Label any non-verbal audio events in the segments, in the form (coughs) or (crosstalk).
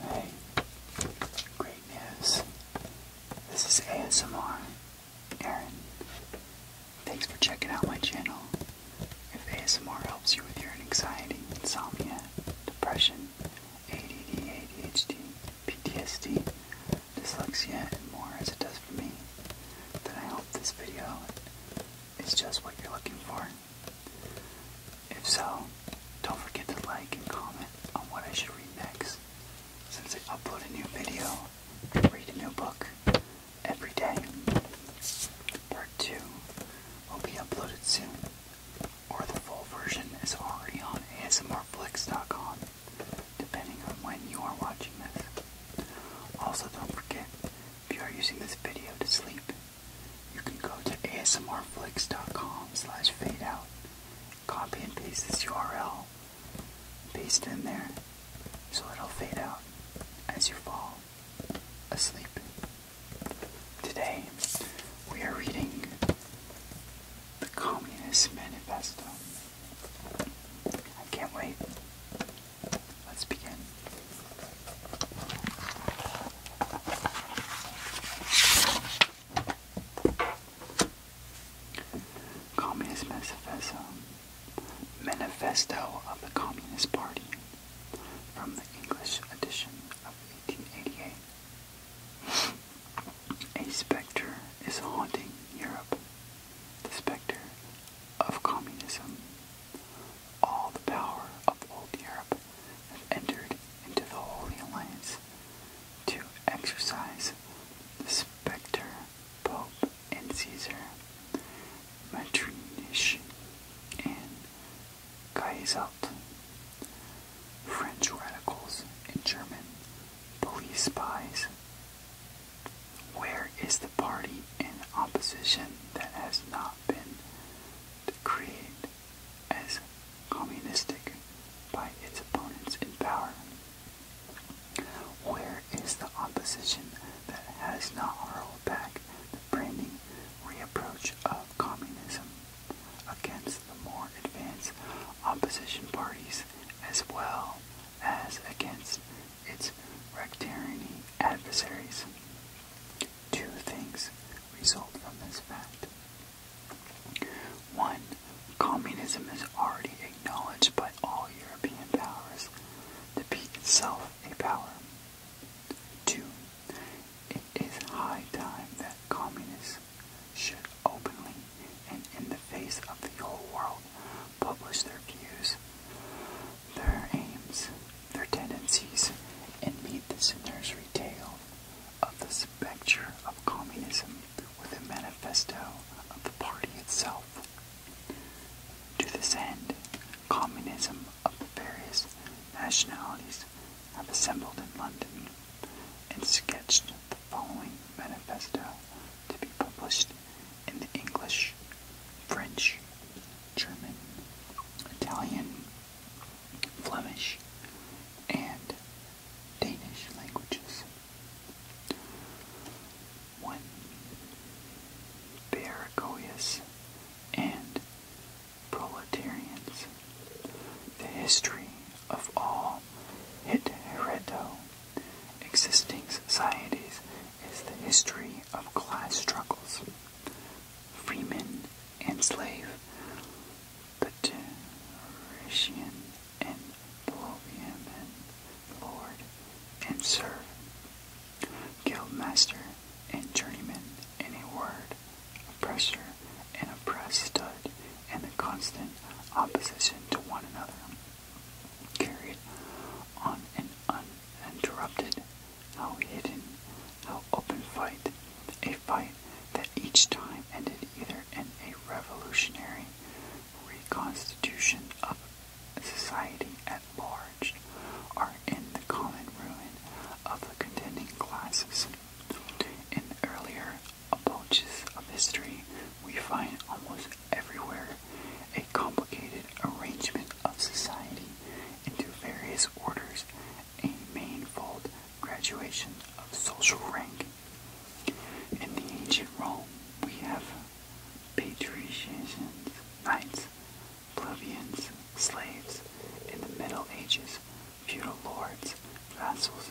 Hey, great news. This is ASMR. Aaron, thanks for checking out my channel. If ASMR helps you with your anxiety, insomnia, depression, ADD, ADHD, PTSD, dyslexia, and more as it does for me, then I hope this video is just what you're looking for. If so, don't forget to like and comment on what I should read next, since I upload a new video and read a new book every day. Part 2 will be uploaded soon, or the full version is already on ASMRflix.com, depending on when you are watching this. Also, don't forget, if you are using this video to sleep, you can go to asmrflix.com slash fadeout, copy and paste this URL, paste in there, so it'll fade out as you fall asleep. Today, we are reading The Communist Manifesto. I can't wait. Let's begin. Communist Manifesto. Manifesto of the Communist Party. From the English edition of 1888. A specter is haunting Europe. The specter of communism all the power of old Europe have entered into the Holy Alliance to exercise the spectre Pope and Caesar, Metternich and Kaiselt. French radicals and German police spies. Where is the party in opposition that has not been decreed as communistic by its opponents in power. Where is the opposition that has not rolled back the branding reapproach of communism against the more advanced opposition parties as well as against its rectarian adversaries? Two things result from this fact. One, communism is already acknowledged by all European powers, to be itself a power. Two, it is high time that communists should openly and in the face of the whole world publish their views their aims, their tendencies, and meet this nursery tale of the spectre of communism with a manifesto of the party itself. To this end, communism of the various nationalities have assembled in London and sketched the following manifesto to be published in the English, French, German, Italian, Flemish, and Danish languages. When Baragoyas and proletarians, the history of all hitherto existing societies is the history of class struggles. Freemen enslave the Dacian and Plovian lord and serf, guildmaster and journeyman, in a word, oppressor and oppressed stood in the constant opposition to one another, carried on an uninterrupted how hidden, how open fight, a fight that each time ended either in a revolutionary reconstitution of society at large or in the common ruin of the contending classes. In earlier approaches of history, we find almost everywhere a complicated arrangement of society into various orders a manifold graduation of social rank. In the ancient Rome, we have patricians, knights, plebeians, slaves, in the Middle Ages, feudal lords, vassals,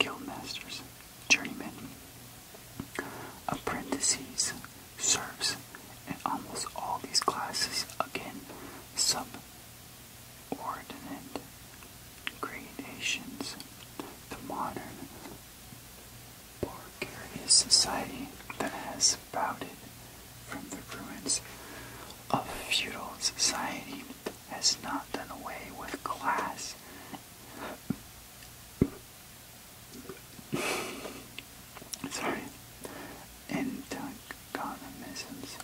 guildmasters, journeymen, apprentices, serfs, and almost all these classes again subordinate gradations. The modern Bulgarian society that has sprouted from the ruins of feudal society has not done away with class. Sorry antagonisms.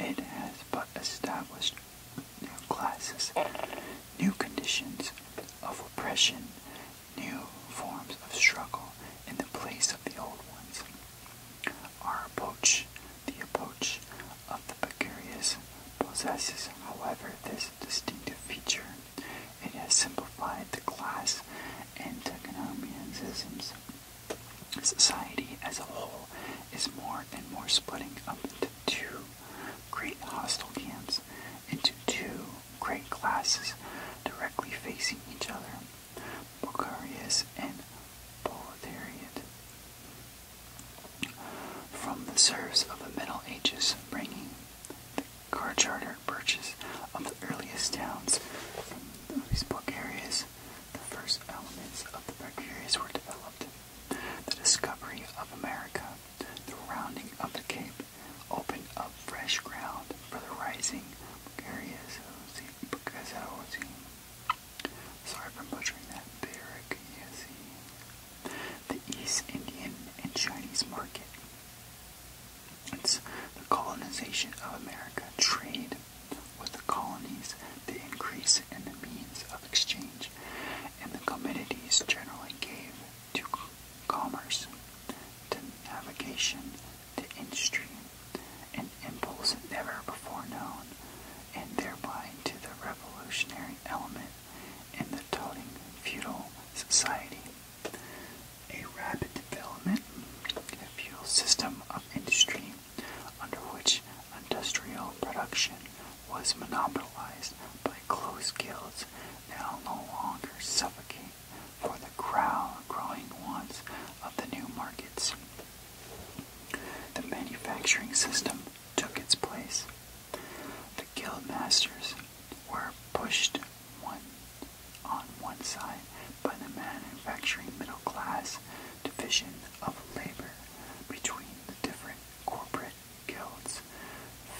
It has but established new classes, new conditions of oppression, new forms of struggle in the place of the old ones. Our approach, the approach of the Pecurious, possesses, however, this distinctive feature. It has simplified the class antagonisms Society as a whole is more and more splitting up into two great hostile camps, into two great classes directly facing each other, Bokharias and Proletariat. From the serfs of the Middle Ages, bringing the car charter purchase of the earliest towns from these book areas, the first elements of the areas were developed. The discovery of America, the rounding of the Cape, opened up fresh ground for the rising Bucariazzi. Sorry for butchering that. Bucariazzi. The East Indian and Chinese market. It's the colonization of America, trade with the colonies, the increase in the means of exchange, and the commodities generally gave to commerce, to navigation, to industry, an impulse never before known, and thereby to the revolutionary element in the toting feudal society a rapid development in a fuel system of industry under which industrial production was monopolized by close guilds now no longer suffocate for the crowd growing wants of the new markets. The manufacturing system took its place. The guild masters were pushed one on one side by the manufacturing middle class division of labor between the different corporate guilds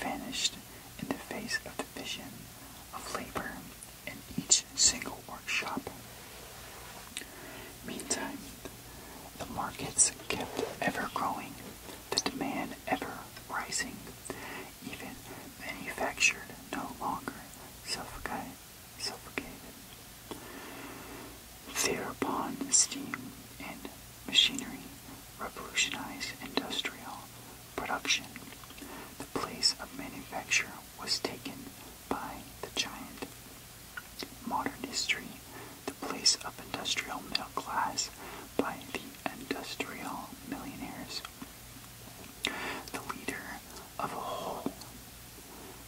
vanished in the face of division of labor in each single workshop. Meantime, the markets kept ever growing, the demand ever rising. Even manufactured no longer suffocated suffocated. Thereupon, steam and machinery revolutionized industrial production. The place of manufacture was taken by the giant. Modern history, the place of industrial middle class by the industrial millionaires the leader of a whole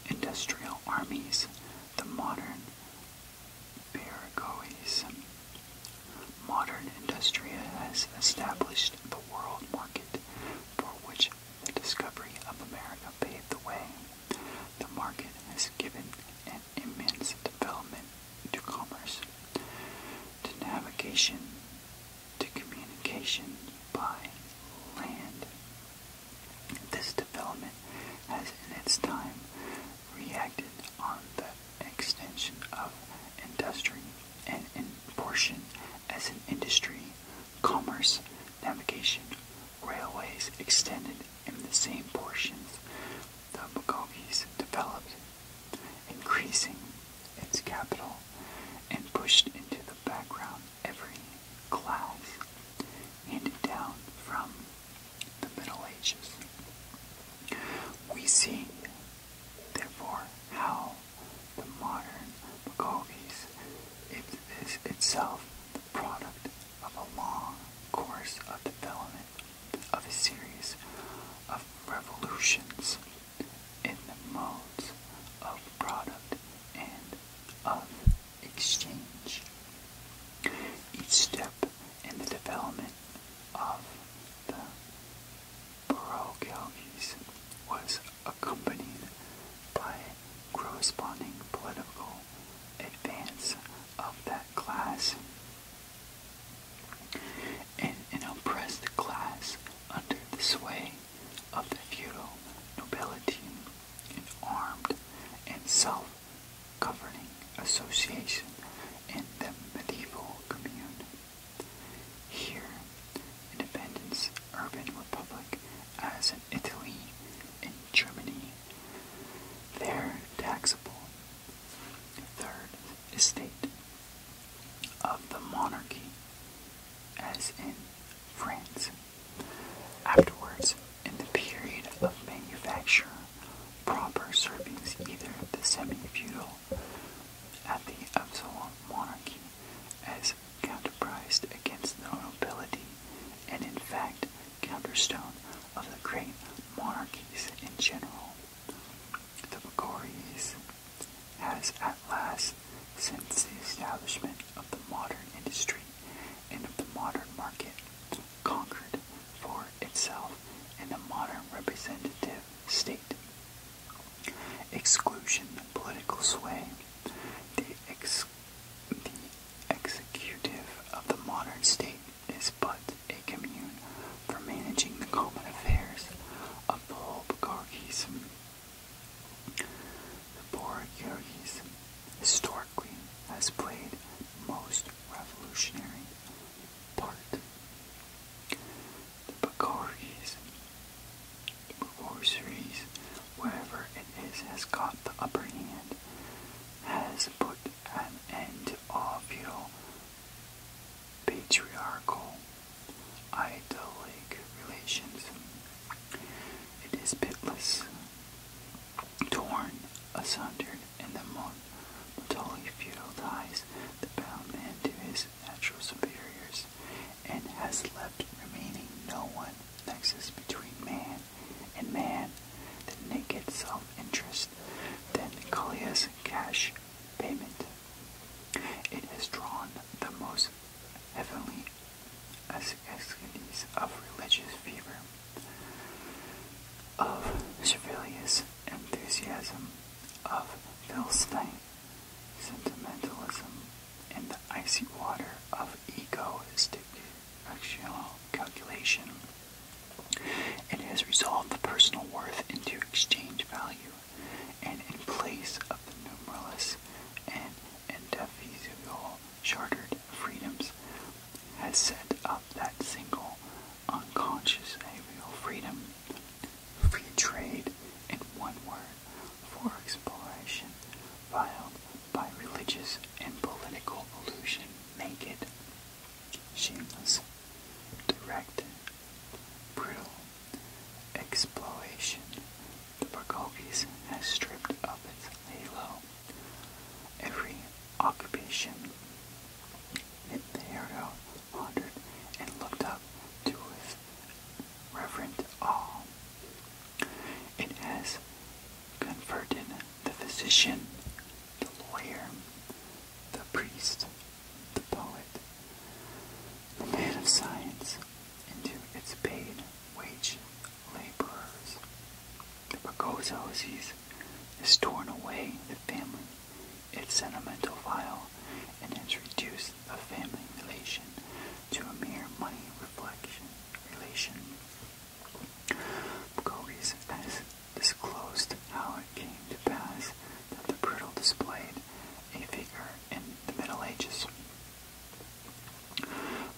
industrial armies, the modern Paraguayes. Modern industria has established the world market for which the discovery of America paved the way. The market has given an immense development to commerce, to navigation, to communication by land. This development has in its time reacted on the extension of industry and in portion as an industry, commerce, navigation, railways extended in the same portions the Magogis developed, increasing its capital, and pushed into the background every class handed down from the Middle Ages. We see, therefore, how the modern Bogovies is itself the product of a long course of development of a series of revolutions in the modes of product and of exchange. Each step in the development of the Baroque was accompanied by corresponding political advance of that class. In an oppressed class under the sway of the feudal nobility in armed and self-governing association in the medieval commune. Here, independence, urban republic, as in Italy and Germany, they're taxable. Third estate of the monarchy, as in Friends. Afterwards, in the period of manufacture, proper servings either the semi-feudal at the absolute monarchy as counterprised against the nobility and in fact counterstone of the great monarchies in general. The Bacorias has at last, since the establishment of the modern industry and of the modern market, conquered for itself in a modern representative state. Exclusion, of political sway, the, ex the executive of the modern state is but a commune for managing the common affairs of the whole oligarchism the Borg Yergis historically has played the most revolutionary part. The Bacoris, the Bacoris, wherever it is, has got the upper hand, has put an end to all feudal patriarchal idyllic relations. It is pitiless, torn asunder and the totally feudal ties that bound man to his natural superiors, and has left remaining no one nexus between man and man. The naked self-interest, then Kalia's cash payment. It has drawn the most heavenly ascetes of religious fever, of Servilius enthusiasm, of Philistine sentimentalism, and the icy water of egoistic, actual calculation. It has resolved the personal worth into exchange value and in place of the numerous and indefeasible chartered freedoms, has set up that single unconscious aerial freedom, free trade, in one word, for exploration, filed by religious and political illusion, naked, shameless, direct, brutal, exploration, the Borghese has stripped of its halo. Every occupation it the hero wandered and looked up to with reverent awe. It has converted the physician, the lawyer, the priest, the poet, the man of science, into its paid wage laborers. The Precozoses is torn away the family, its sentimental vial, and has reduced the family relation to a mere money reflection relation. Precozes has disclosed how it came to pass that the brutal displayed a figure in the Middle Ages.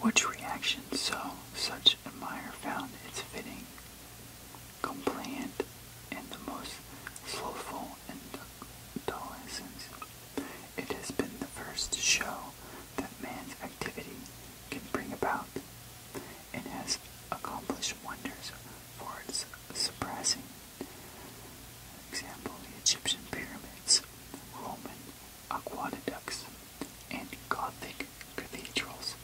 Which reaction so such admirer found its fitting, compliant, and the most slothful adolescence. It has been the first to show that man's activity can bring about, and has accomplished wonders for its suppressing Example, the Egyptian pyramids, Roman aqueducts, and Gothic cathedrals.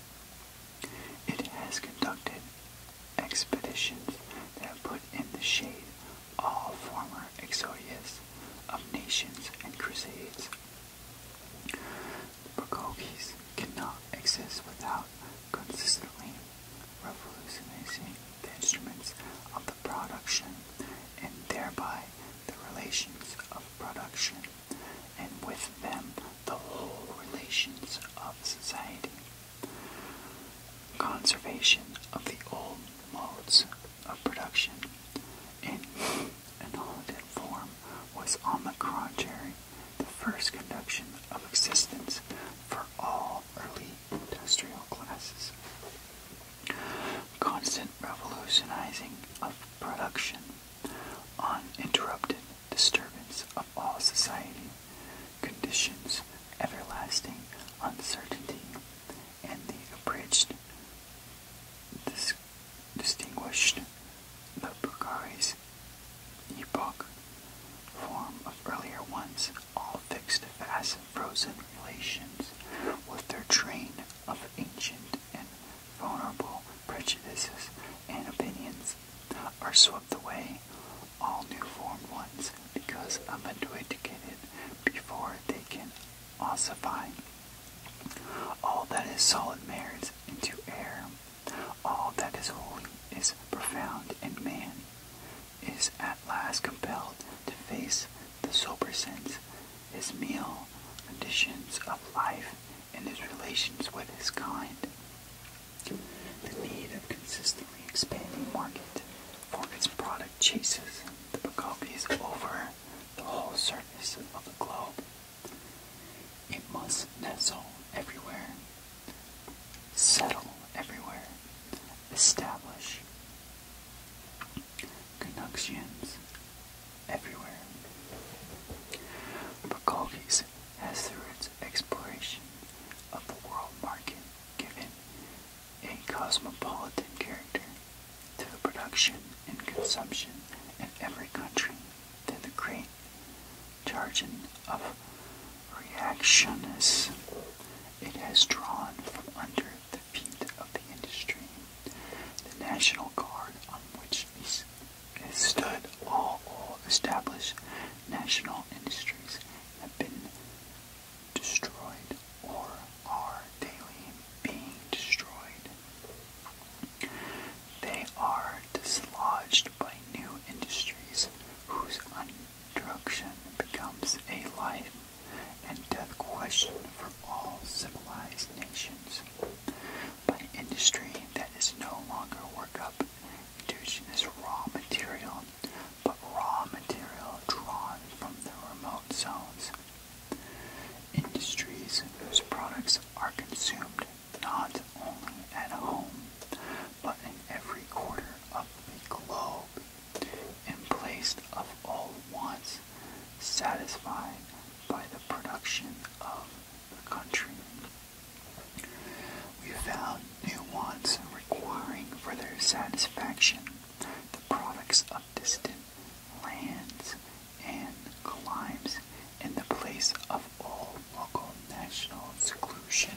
It has conducted expeditions that put in the shade all former exodius of nations and crusades. The cannot exist without consistently revolutionizing the instruments of the production and thereby the relations of production, and with them the whole relations of society. Conservation of the old modes of production in an altered form was, on the contrary, the first conduction of existence for all early industrial classes. Constant revolutionizing of production, uninterrupted disturbance of all society, conditions, everlasting uncertainty, and the abridged, distinguished, the Bukhari's epoch form of earlier ones, all all fixed fast frozen relations with their train of ancient and vulnerable prejudices and opinions are swept away, all new formed ones because unmitigated before they can ossify. All that is solid merits into air. All that is holy is profound in man is at last compelled to face the sober sense, his meal, conditions of life, and his relations with his kind. The need of consistently expanding market for its product chases the Bacopies over the whole surface of the globe. It must nestle everywhere, settle everywhere, establish Canucksians everywhere. Bukowski's has through its exploration of the world market given a cosmopolitan character to production and consumption in every country to the great charging of reactionists it has drawn from under the feet of the industry. The National Guard, on which stood all, all established national industries, have been destroyed or are daily being destroyed. They are dislodged by new industries whose introduction becomes a life and death question for all civilized nations by industry that is no longer work up indigenous raw material, but raw material drawn from the remote zones. Industries whose products are consumed not only at home, but in every quarter of the globe in place of all wants satisfied by the production of the country. We found new wants requiring for their satisfaction the products of distant lands and climes in the place of all local national seclusion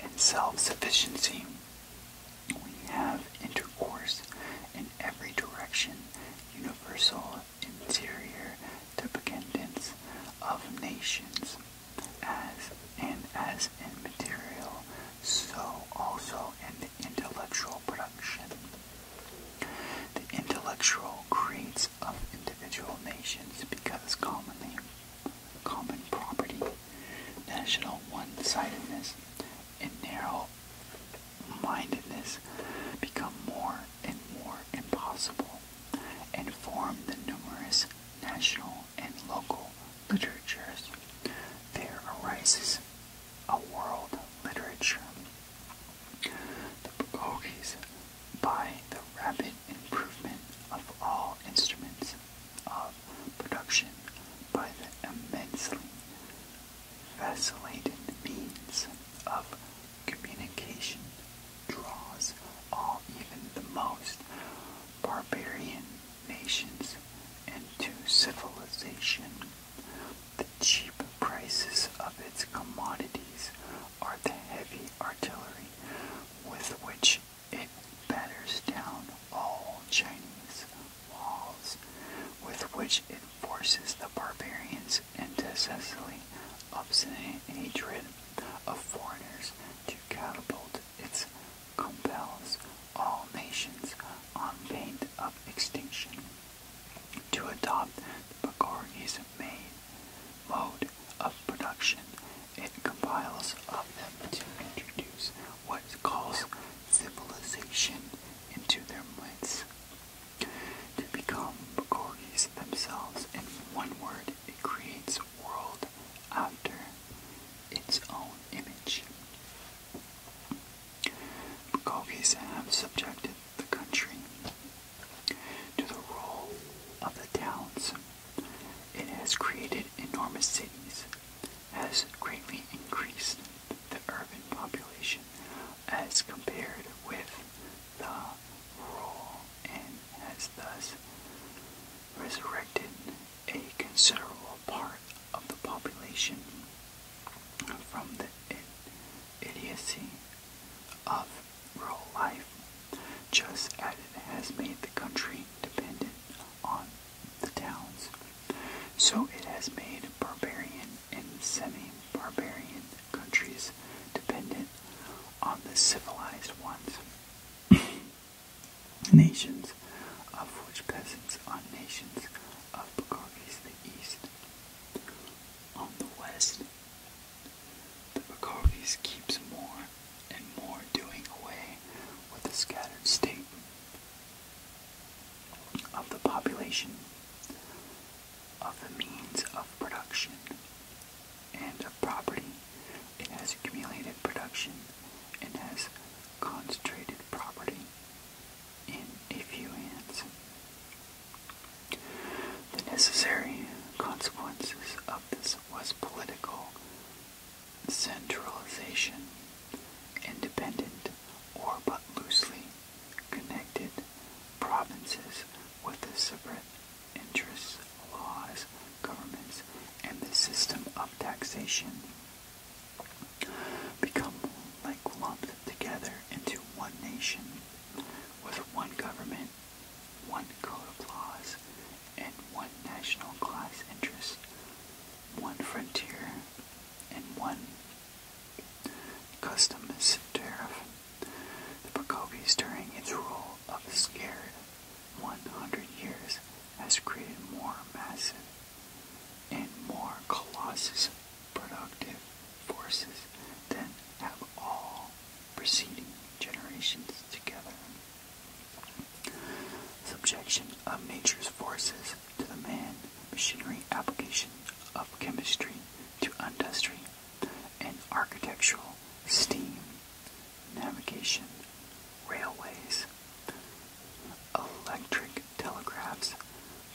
and self-sufficiency. We have intercourse in every direction, universal interior dependence of nations, as and as in material, so also in the intellectual production. The intellectual creeds of individual nations because commonly common property, national one-sidedness, and narrow-mindedness become more and more impossible and from the numerous national and local literatures. There arises a world literature. by the rapid improvement of all instruments of production by the immensely vacillated means of communication draws all even the most barbarian nations into civilization. The cheap prices of its commodities are the heavy artillery with which it batters down all Chinese walls, with which it forces the barbarians into cessantly obstinate hatred of foreigners to catapult its compels all nations on pain of extinction to adopt the Bacori's main mode of production. It compiles of them to introduce it calls civilization into their minds To become Gorgies themselves in one word, it creates world after its own image. Bukogis have subjected the country to the rule of the towns. It has created enormous cities has greatly increased the urban population as compared with the rural and has thus resurrected a considerable part of the population from the idiocy of rural life, just as it has made the country dependent on the towns. So it has made barbarian and semi-barbarian countries dependent on the civilized ones. (coughs) nations, of which peasants are nations of Bacchades the east. On the west, the Bacchades keeps more and more doing away with the scattered state of the population, of the means of production, and of property. It has accumulated production and has concentrated property in a few hands. The necessary consequences of this was political centralization, independent or but loosely connected provinces with the separate interests, laws, governments, and the system of taxation become like lumped together into one nation with one government, one code of laws, and one national class interest one frontier, and one customs tariff. The Procopes, during its rule of a scared 100 years, has created more massive and more colossus productive forces than have all preceding generations together. Subjection of nature's forces to the man, machinery, application of chemistry to industry and architectural, steam, navigation, railways, electric telegraphs,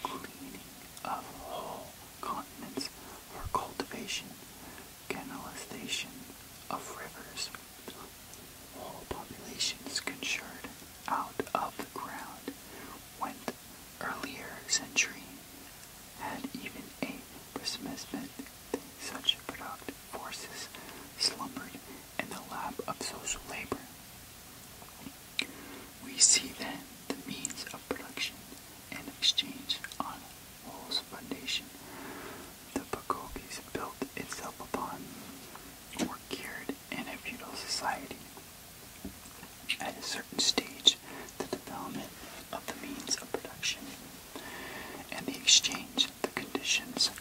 cleaning of whole continents for cultivation, canalization of rivers, Whole populations conjured out of the ground went earlier century had even a presentiment such productive forces slumbered in the lap of social labor. We see then the means of production and exchange on whole's foundation the Pagogis built itself upon were geared in a feudal society. At a certain stage, the development of the means of production and the exchange of the conditions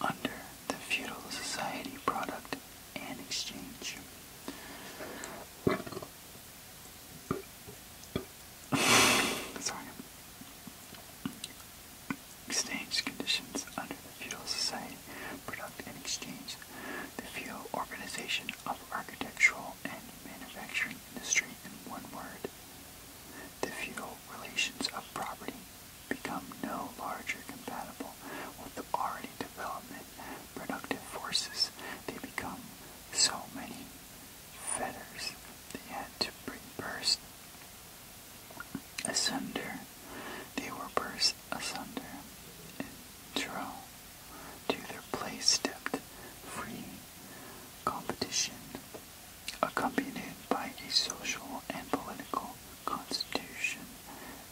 under the feudal society product and exchange. (sighs) Sorry. Exchange conditions under the feudal Society Product and Exchange, the feudal Organization of Architectural and Manufacturing Industry in one word. The feudal Relations of Property become no larger compatible with the already development productive forces. They become so many fetters they had to bring burst Asunder. They were burst asunder, and Tyrrell to their place stepped free competition, accompanied by a social and political constitution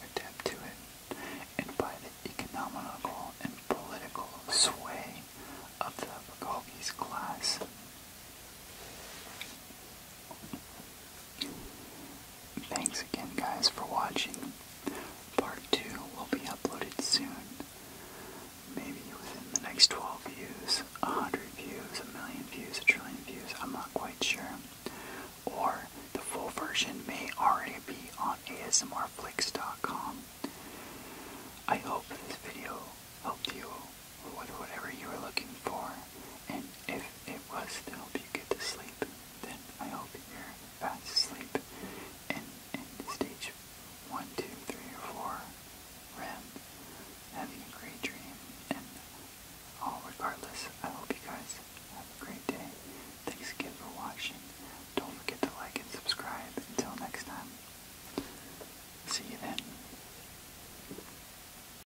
adapted to it, and by the economical and political sway of the Bogolese class. Thanks again, guys, for watching. Part 2 will be uploaded soon. Maybe within the next 12 views, 100 views, a million views, a trillion views, I'm not quite sure. Or the full version may already be on ASMRflix.com. I hope this video helped you whatever you were looking for, and if it was to you get to sleep, then I hope you're fast asleep and in stage 1, or 4 REM, having a great dream, and all regardless, I hope you guys have a great day. Thanks again for watching. Don't forget to like and subscribe. Until next time, see you then.